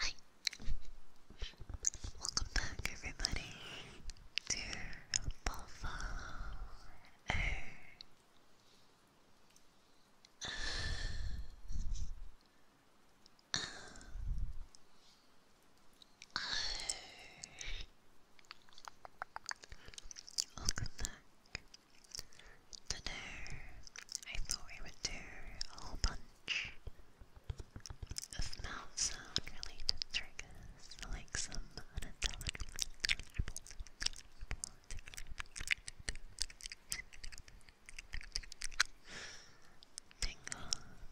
Hi. Welcome back everybody to Buffalo Welcome back. Today, I thought we would do a whole bunch of mouth related triggers, like some unintelligible, tingles.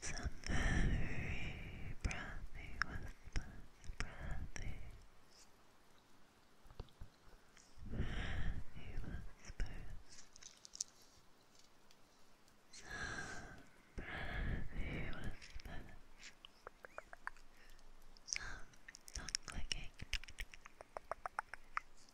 Some very breathy whispers, breathy, breathy Some breathy whispers. Some tongue clicking.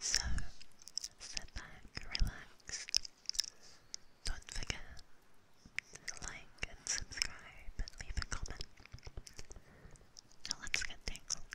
So, sit back, relax. Don't forget to like and subscribe and leave a comment. Now let's get tangled.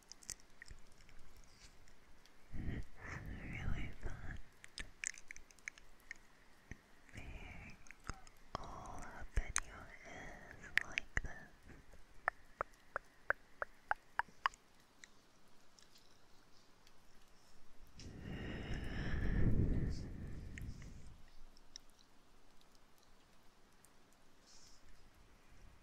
It's really fun being all up in your ears like this.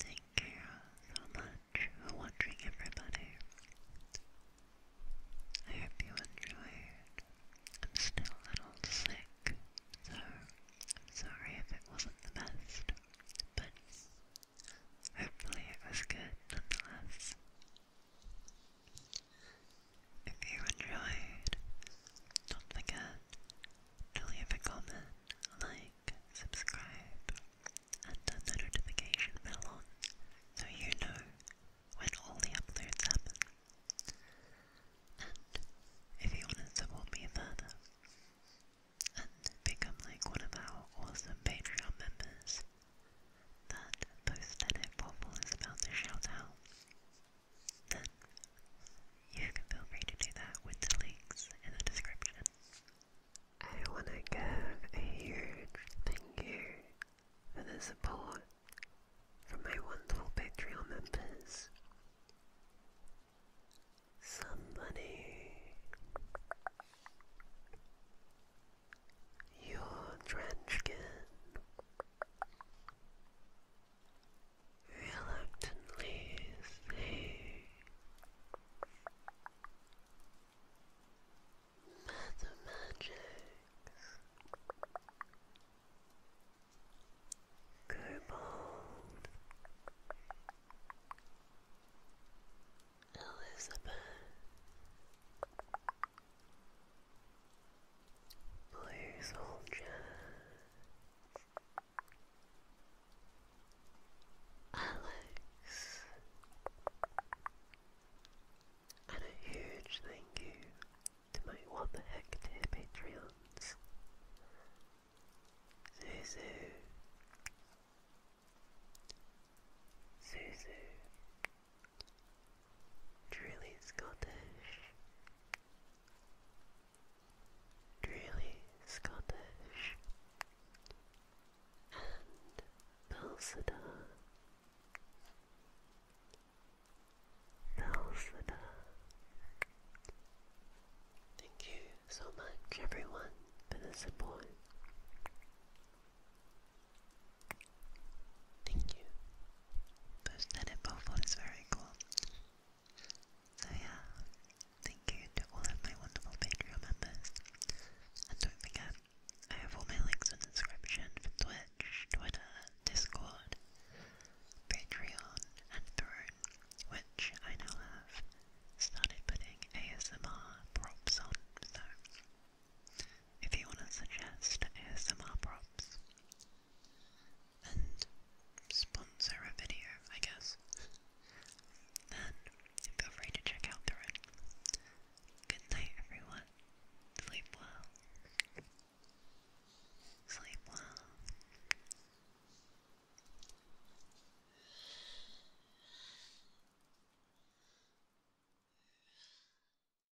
Thank you so much for watching, everybody. I hope you enjoyed. I'm still a little sick, so I'm sorry if it wasn't the best, but hopefully it was good nonetheless. If you enjoyed, don't forget to leave a comment, like, subscribe, and turn the notification bell on so you know when all the uploads happen. And if you want to support me further and become like one of our awesome Patreon members, that post edit waffle is about to shout out then you can feel free to do that with the links in the description. I want to give a huge thank you for the support from my wonderful Patreon members. Somebody, your Trenchkin, reluctantly say Mathematics Cobalt Elizabeth Blue soldier. Alex. And a huge thank you to my What Heck Dear Patreons. Zuzu. Zuzu. Truly Scottish. Truly Scottish. And Balsadar. Balsadar. Thank you so much everyone for the support. Thank you. Pushnet and Bowfoot is very cool. So yeah, thank you to all of my wonderful Patreon members. And don't forget, I have all my links in the description for Twitch, Twitter, Discord, Patreon, and Throne, which I now have started putting ASMR props on, so if you want to suggest ASMR props and sponsor a video, I guess, then feel free to check out the road. Good night, everyone. Sleep well. Sleep well.